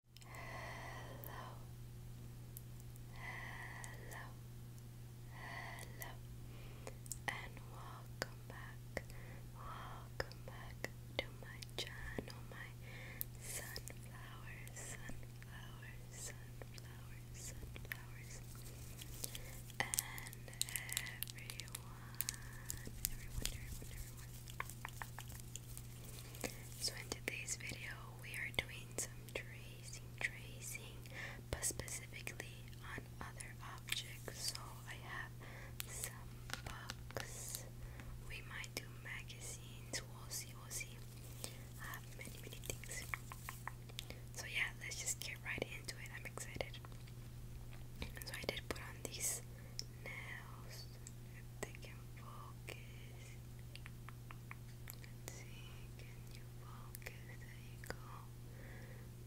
Hello, hello, hello, and welcome back, welcome back to my channel, my sunflowers, sunflowers, sunflowers, sunflowers, and everyone, everyone, everyone, everyone. So in today's video we are doing some tracing, tracing, but specifically on other objects. So I have some books, we might do magazines, we'll see, we'll see. have many, many things. So yeah, let's just get right into it. I'm excited. So I did put on these nails if they focus. can you focus? There you go.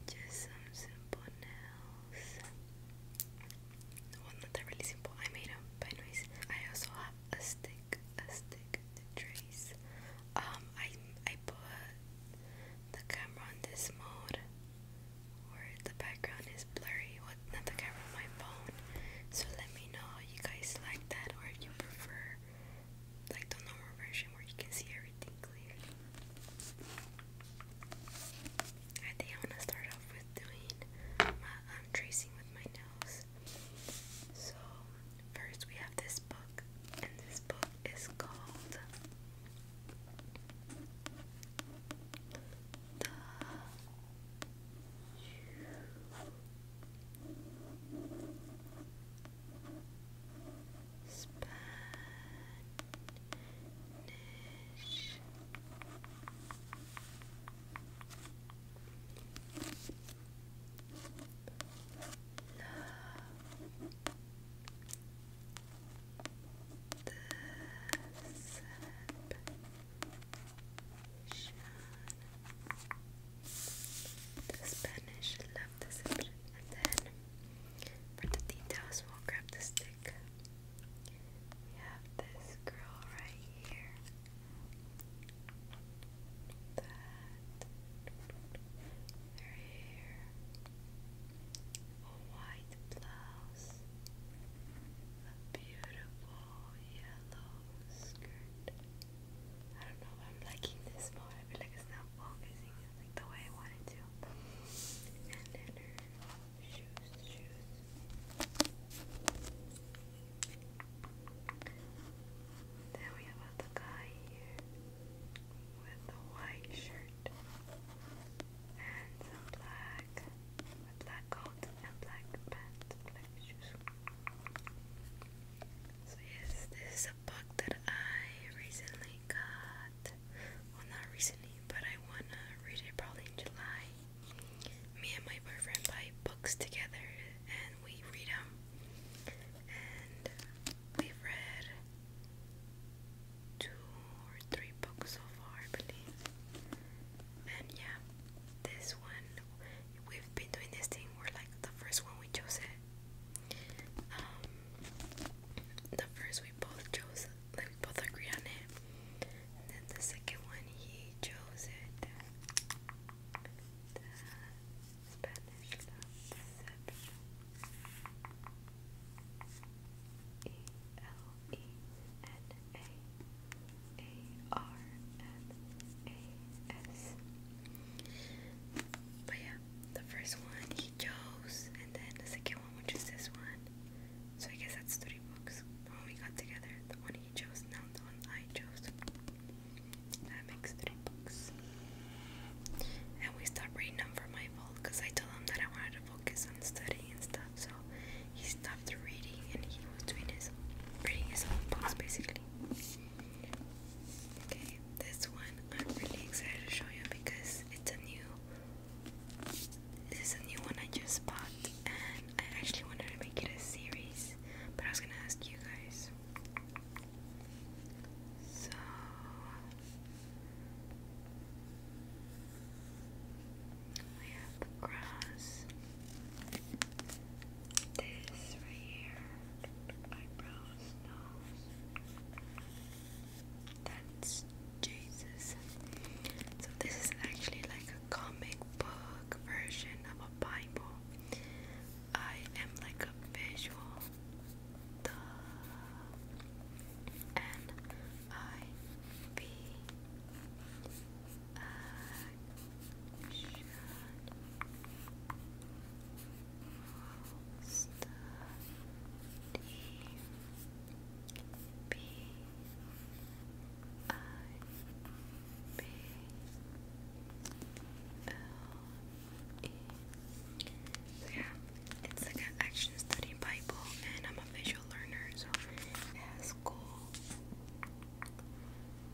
Just some simple nails. Well, not that really simple. I made them, but anyways, I also have a stick, a stick trace. Um, I I put the camera on this mode where the background is blurry not, the camera, my phone. So let me know how you guys like that or if you prefer like the normal version where you can see everything clear. I think I'm to start off with doing um, tracing with my nails. So first we have this book and this book is called Spanish. Love. The the Spanish love this And then for the we'll grab the stick. We have this girl right here. That. hair. A white blouse. A beautiful yellow skirt. I don't know if I'm liking this more. I feel like it's not focusing the way I want to. And then her shoes, shoes. Then we have the guy here with the white shirt and some black so yes, this is a book that I recently got. Well, not recently, but I wanna read it probably in July. Me and my boyfriend buy books together and we read them. And we've read two or three books so far, I believe man, yeah, this one we've been doing this thing where like the first one we chose it. Um, the first we both chose, like we both agreed on it. And then the second one he chose it. Spanish love E L E N A A R N A S. But yeah, the first one he chose, and then the second one, which is this one. So I guess that's three books. The one we got together, the one he chose, now the one I chose. That makes three books. And we stopped reading them for my fault because I told him that I wanted to focus on studying and stuff. So he stopped reading and he was doing his reading his own books basically. Okay, this one I'm really excited to show you because it's a new this is a new one I just bought and I actually wanted to make it a series, but I was gonna ask you guys. So we have the cross. This right here. Eyebrows, nose. That's Jesus. So this is actually like a comic book version of a Bible. I am like a visual duh. N I V action all B I B L E So yeah, it's like an action study Bible and I'm a visual learner so it cool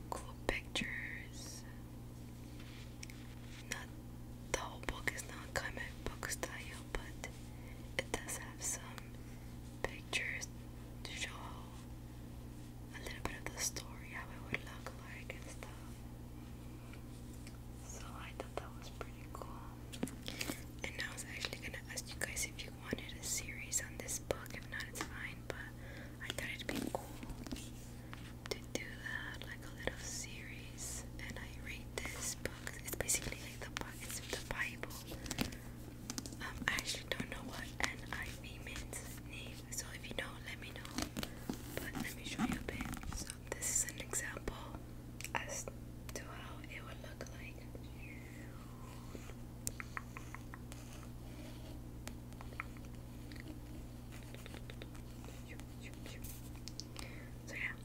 cool pictures. Not the whole book is not comic book style, but it does have some pictures to show a little bit of the story, how it would look like and stuff. So I thought that was pretty cool. And I was actually gonna ask you guys if you wanted a series on this book. If not, it's fine. But I thought it'd be cool to do that, like a little series. And I read this book. It's basically like the it's the Bible. Um, I actually don't know what NIV means So if you know, let me know. But let me show you a bit. So this is an example as to how it would look like. So yeah,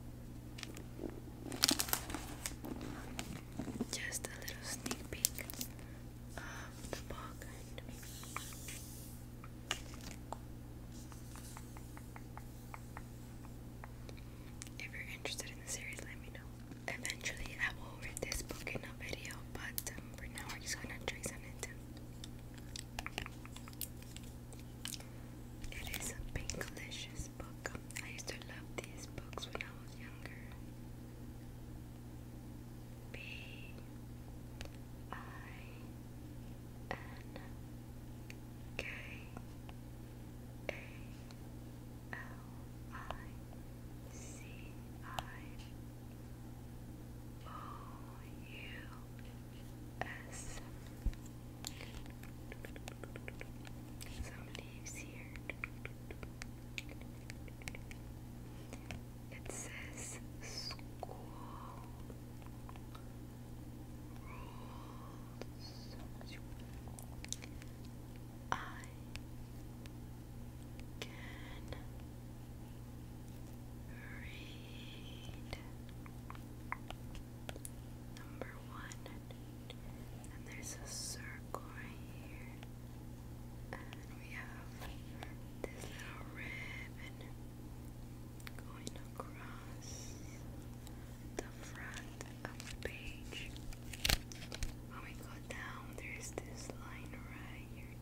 just a little sneak peek of the book. If you're interested in the series, let me know. Eventually, I will read this book in a video, but um, for now, we're just gonna trace on it. It is a pinkalicious book. I used to love these books when I was younger. B I N K A L I C I O U S. Some leaves here. It says school rules. I can read number one, and there's a circle right here, and we have this little ribbon going across the front of the page. When oh we go down, there's this line right here.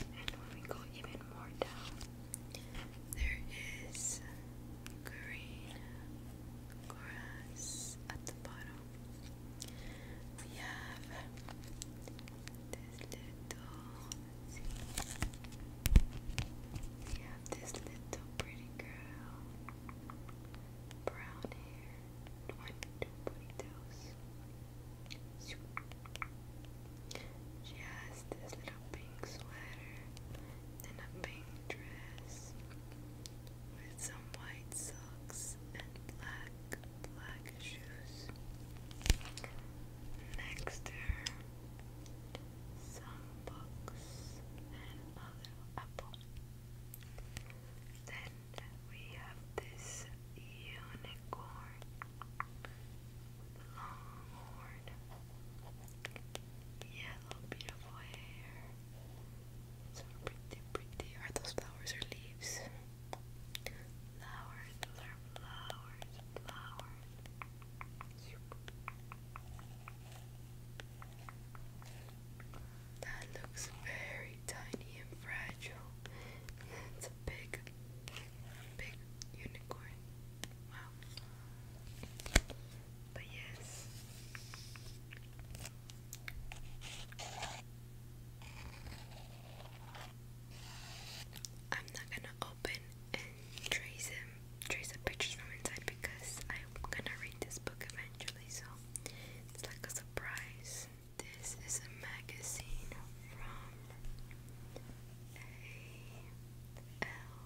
And when we go even more down, there is green grass at the bottom. We have this little, we have this little pretty girl brown hair, 22 ponytails. She has this little pink sweater and a pink dress with some white socks and black, black shoes. Next to her, some books and a little apple. Then we have this unicorn long horn, yellow, beautiful hair. So pretty, pretty. Are those flowers or leaves? Flowers, flowers, flowers. That looks very tiny and fragile. It's a big, big unicorn. Wow. But yes. I'm not gonna open and trace him, trace the pictures from inside because I'm gonna read this book actually, so it's like a surprise. This is a magazine from A L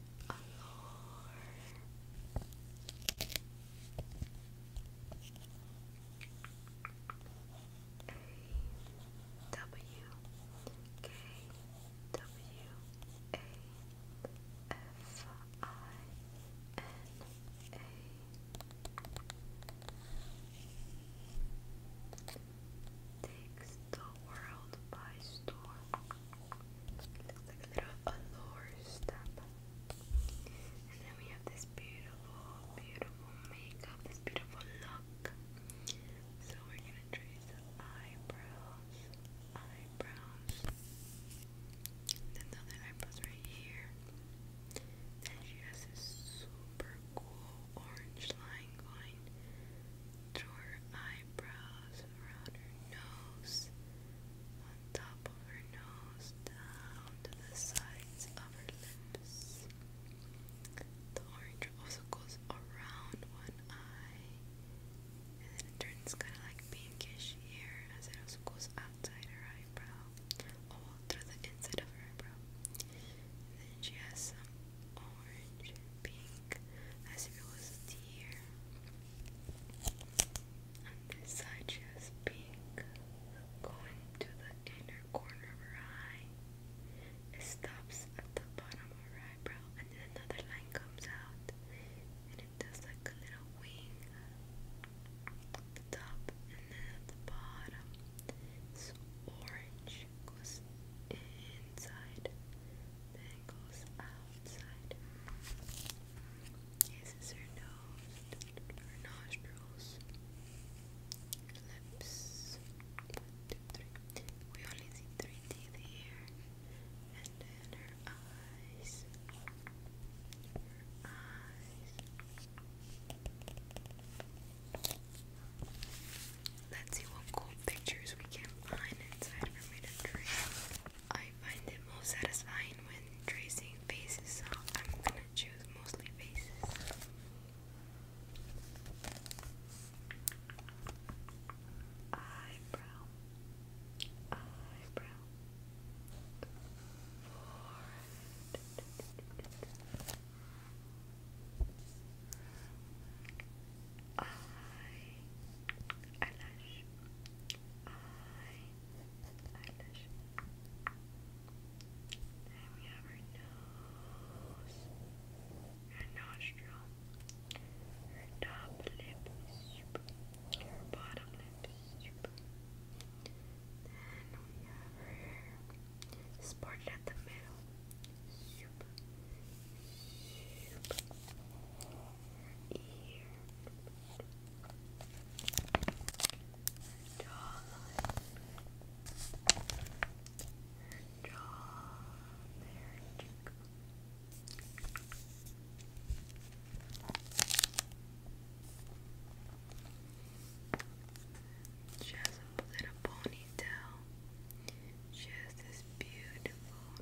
Alors. A W K W A F I N A takes the world by storm like a little allure step. And then we have this beautiful, beautiful makeup, this beautiful look. So we're gonna trace the eyebrows, eyebrows, then the other eyebrows right here. Then she has this super cool orange line going through her eyebrows some around her nose, on top of her nose, down to the sides of her lips. The orange also goes around one eye, and then it turns kind of like pinkish here as it also goes outside her eyebrow, all through the inside of her eyebrow. then she has some orange pink as if it was here. On this side, she has pink going to the inner corner of her eye. It stops at the bottom of her eyebrow, and then another line comes out, and it does like a little wing at the top, and at the bottom. It's orange, goes inside Bangles outside. Yes, it's her nose, her nostrils, lips. We only see three teeth here, and then her eyes. Her eyes. Let's see what cool pictures we can find inside of her made of I find it most satisfying when tracing faces, so I'm gonna choose mostly faces. Eyebrow, eyebrow, forehead, I eyelash I eyelash and we have her nose her nostril her top lip her bottom lip then we have her spotted at the middle. Shoop. Shoop ear. Her jawline. Her jaw. There you go. She has a little ponytail. She has this beautiful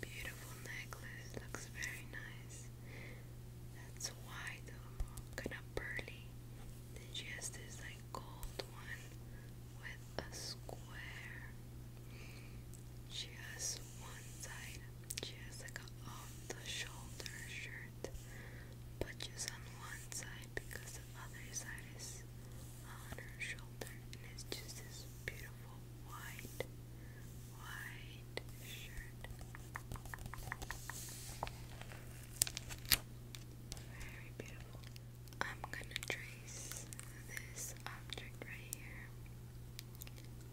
Beautiful necklace, looks very nice. That's white, um, kind of pearly. Then she has this like gold one with a square. She has one side. She has like a off um, the shoulder shirt, but just on one side because the other side is on her shoulder and it's just this beautiful white, white shirt. Very beautiful. I'm gonna trace this object right here.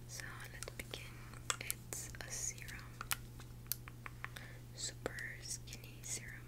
So let's begin. It's a serum. Super skinny serum.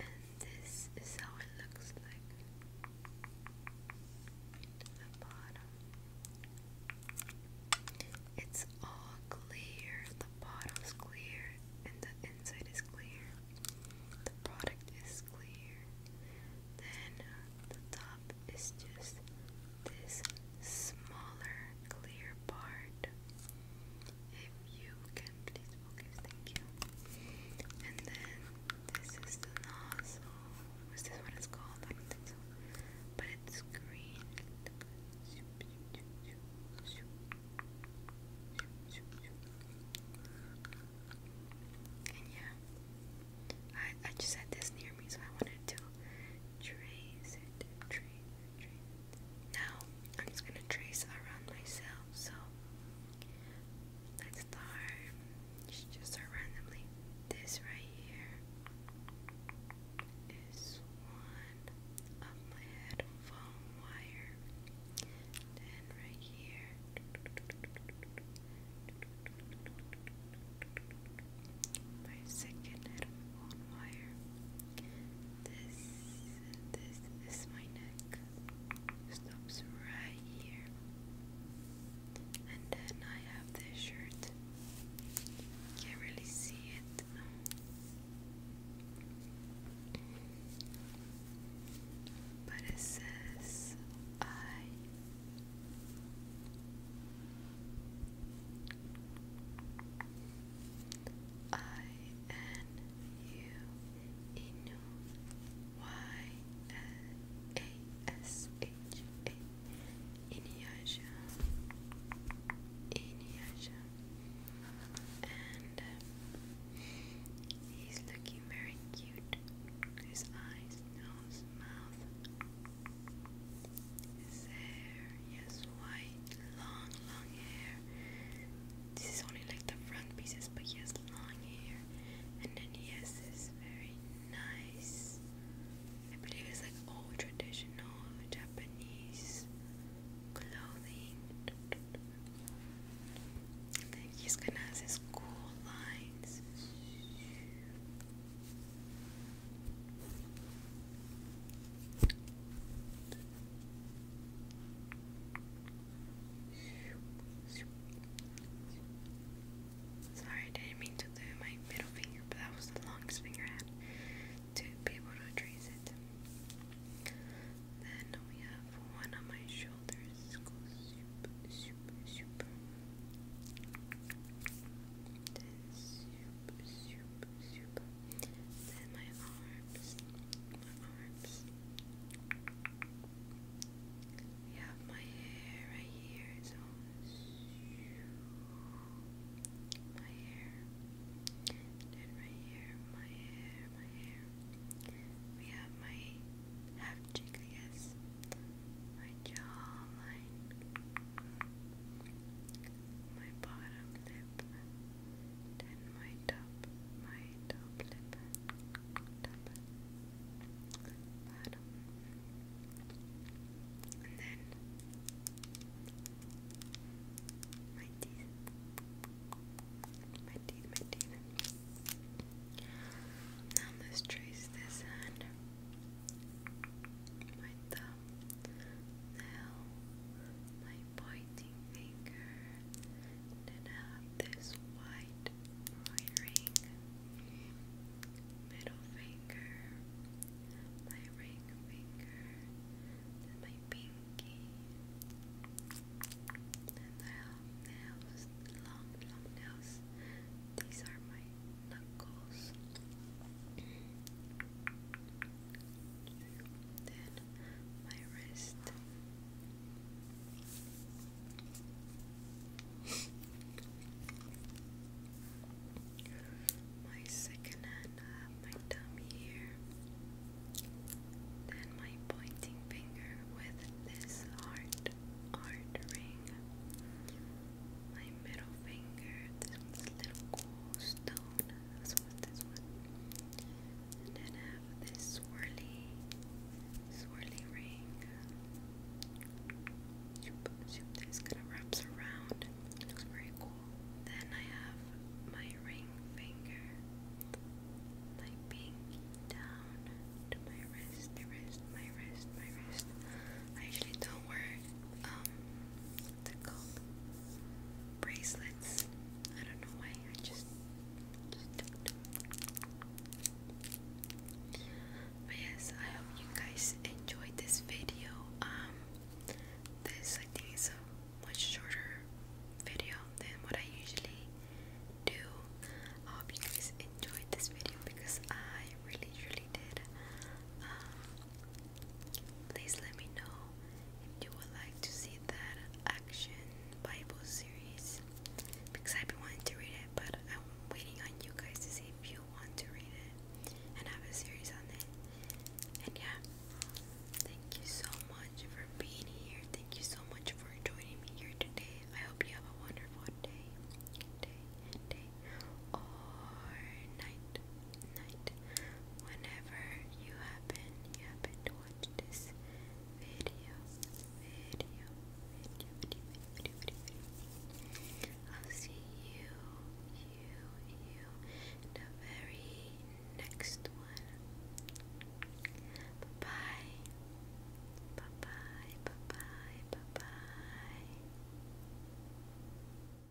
and this is how it looks like the bottom. It's all clear. The bottle's clear and the inside is clear. The product is clear. Then uh, the top is just this smaller clear part. If you can please focus, thank you. And then this is the nozzle. Is this what it's called? I don't think so. But it's green. And yeah, I I just had this near me, so I wanted to trace it, trace now I'm just gonna trace around myself. So let's start just start randomly. This right here is one of my headphone wire. Then right here my second headphone wire. This, this is my neck. Stops right here. And then I have this shirt. Can't really see it. But it says I I N U Inu Y L A S H A and uh, he's looking very cute his eyes, nose, mouth he has white, long, long hair. This is only like the front pieces, but he has long hair. And then he has this very nice, I believe it's like old traditional Japanese clothing. then he's gonna have his cool lines. Sorry, I didn't mean to do my middle finger, but that was the longest finger I had to be able to trace it. Then we have one on my shoulders. super, super, super. Then super, super, super. Then my arms, my arms. We have my hair right here, so my hair. Then right here, my hair, my hair. We have my half cheek, I My jawline my bottom lip, then my top, my top lip, top, bottom, and then my teeth, my teeth, my teeth. Now let's trace this hand. My thumb, now, my pointing finger, then have this white ring, middle finger, my ring finger, then my pinky, and I nails, long, long nails. These are my knuckles then my wrist. my second hand, I have my thumb here, then my pointing finger with this heart, heart ring, my middle finger, this little cool stone, this one? And then I have this swirly, swirly ring. This kind of wraps around. looks very cool. Then I have my ring finger, like being down to my wrist, wrist, my wrist, my wrist. I usually don't wear um, what's it called? Bracelets. I don't know why. I just, But yes, I hope you guys enjoyed this video. Um, this I think is a much shorter video than what I usually do. I hope you guys enjoyed this video because I really, really did. Um, Please let me know if you would like to see that action Bible series because I've been wanting to read it, but I'm waiting on you guys to see if you want to read it and have a series on it. And yeah, thank you so much for being here. Thank you so much for joining me here today. I hope you have a wonderful day, day, day, or night night. Whenever you happen, you happen to watch this video, video, video, video, video, video, video. I'll see you, you, you in the very next one. Bye bye. Bye bye. Bye bye.